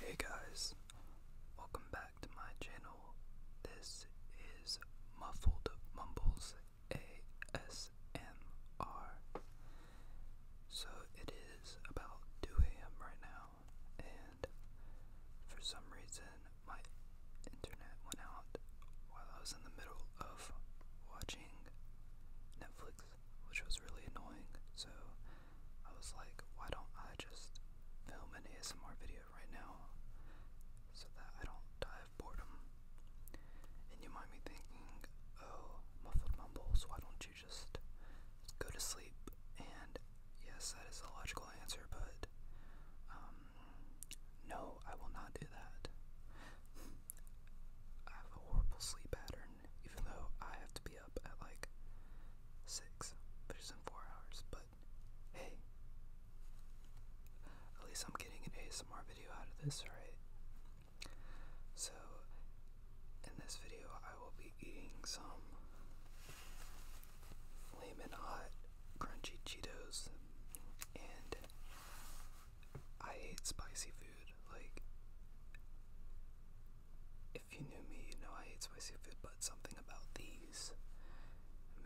Hey guys, welcome back to my channel. This is Muffled Mumbles ASMR. So it is about 2 a.m. right now, and for some reason my internet went out while I was in the middle of watching Netflix which was really annoying. So I was like, why don't I just film an ASMR video right now so that I don't die of boredom? And you might be thinking, oh, muffled mumbles, why don't you just go to sleep? And yes, that is a logical answer, but um, no, I will not do that. I have a horrible sleep pattern, even though I have to be up at like six, which is in four hours. But hey, at least I'm getting an ASMR video out of this, right? So in this video, I will be eating some flaming hot crunchy Cheetos, and I hate spicy food. Like if you knew me, you know I hate spicy food, but something about these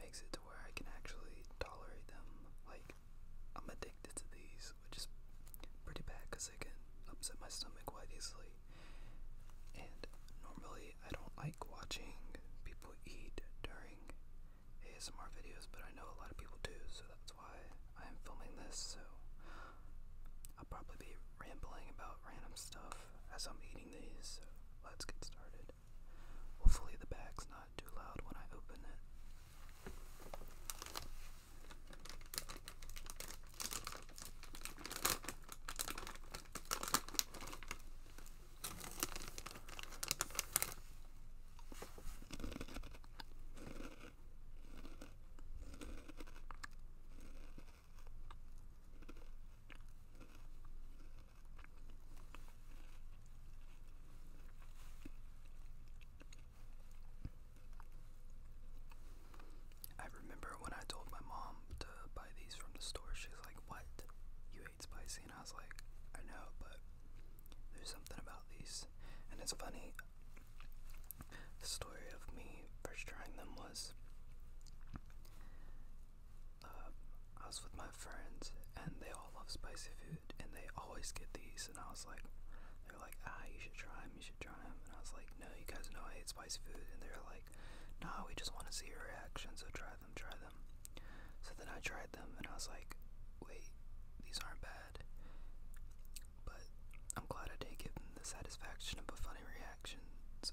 makes it to where I can actually tolerate them. Like, I'm addicted to these, which is pretty bad because they can upset my stomach quite easily. And normally, I don't like watching people eat during ASMR videos, but I know a lot of people do, so that's why I am filming this. So, I'll probably be rambling about random stuff as I'm eating these, so let's get started. Hopefully, the bag's not too loud when I open it. I remember when I told my mom to buy these from the store, she's like, What? You hate spicy? And I was like, I know, but there's something about these. And it's funny, the story of me first trying them was uh, I was with my friends and they all love spicy food and they always get these and I was like they're like ah you should try them you should try them and I was like no you guys know I hate spicy food and they're like nah we just want to see your reaction so try them try them so then I tried them and I was like wait these aren't bad but I'm glad I did give them the satisfaction of a funny reaction. So.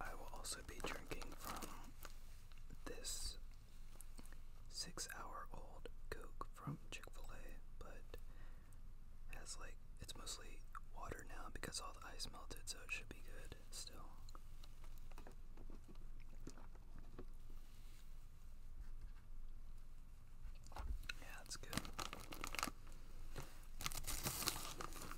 I will also be drinking from this six hour old Coke from Chick fil A, but has like, it's mostly water now because all the ice melted, so it should be good still. Yeah, that's good.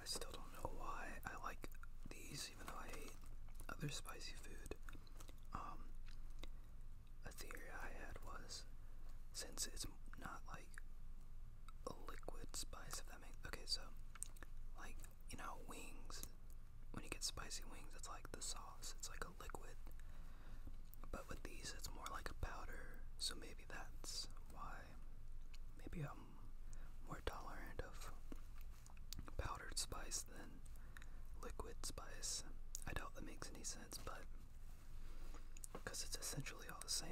I still don't know why I like these, even though I hate other spicy food. Um, a theory I had was since it's not like liquid spice, if that makes okay, so like you know, wings when you get spicy wings, it's like the sauce, it's like a liquid, but with these, it's more like a powder, so maybe that's why maybe I'm more tolerant of powdered spice than liquid spice. I doubt that makes any sense, but because it's essentially feel the same.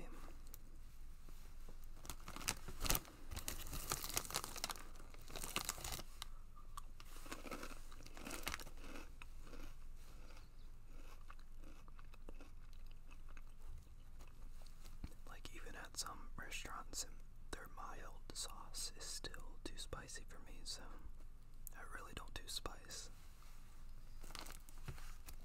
Like, even at some restaurants, their mild sauce is still too spicy for me, so I really don't do spice.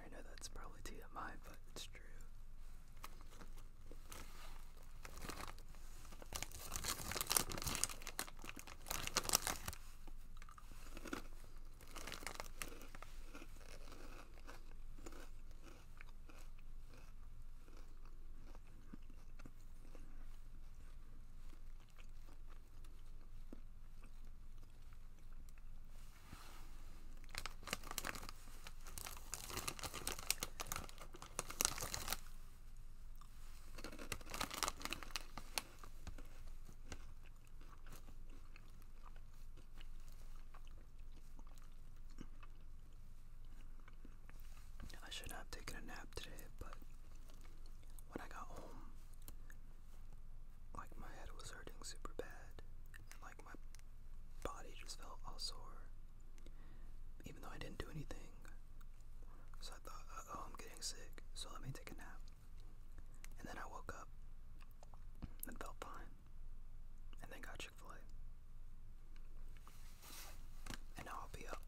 I know that's probably TMI, but it's true. I should have taken a nap today, but when I got home, like my head was hurting super bad, and like my body just felt all sore, even though I didn't do anything. So I thought, uh oh, I'm getting sick, so let me take a nap. And then I woke up and felt fine, and then got Chick fil A. And now I'll be up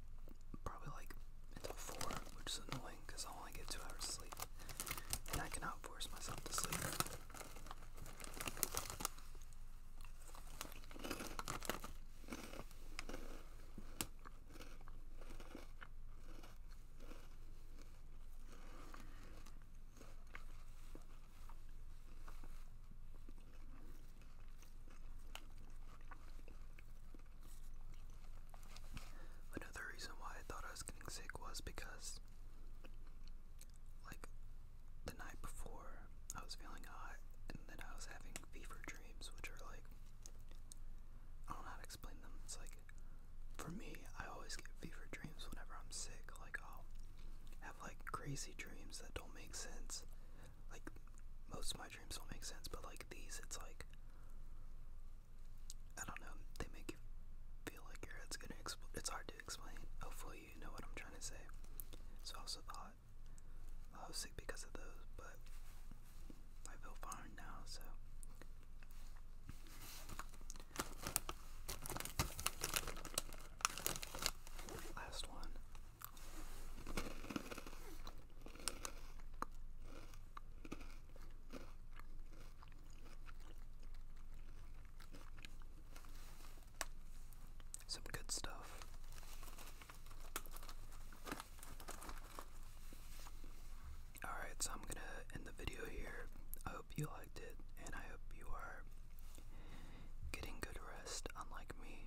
probably like until 4, which is annoying because I'll only get 2 hours of sleep. And I cannot force myself to sleep. Another reason why I thought I was getting sick was because like the night before I was feeling hot and then I was having fever dreams which are like I don't know how to explain them. It's like for me I always get fever dreams whenever I'm sick. Like I'll have like crazy dreams that don't make sense. Like most of my dreams don't make sense, but like these it's like I don't know, they make you feel like your head's gonna explode. It's hard to explain. Hopefully, you know what I'm trying to say. So I also thought I was sick because of those, but I feel fine now, so. Last one. Some good stuff. Alright, so I'm gonna end the video here. I hope you liked it, and I hope you are getting good rest, unlike me.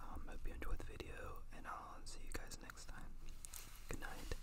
Um, hope you enjoyed the video, and I'll see you guys next time. Good night.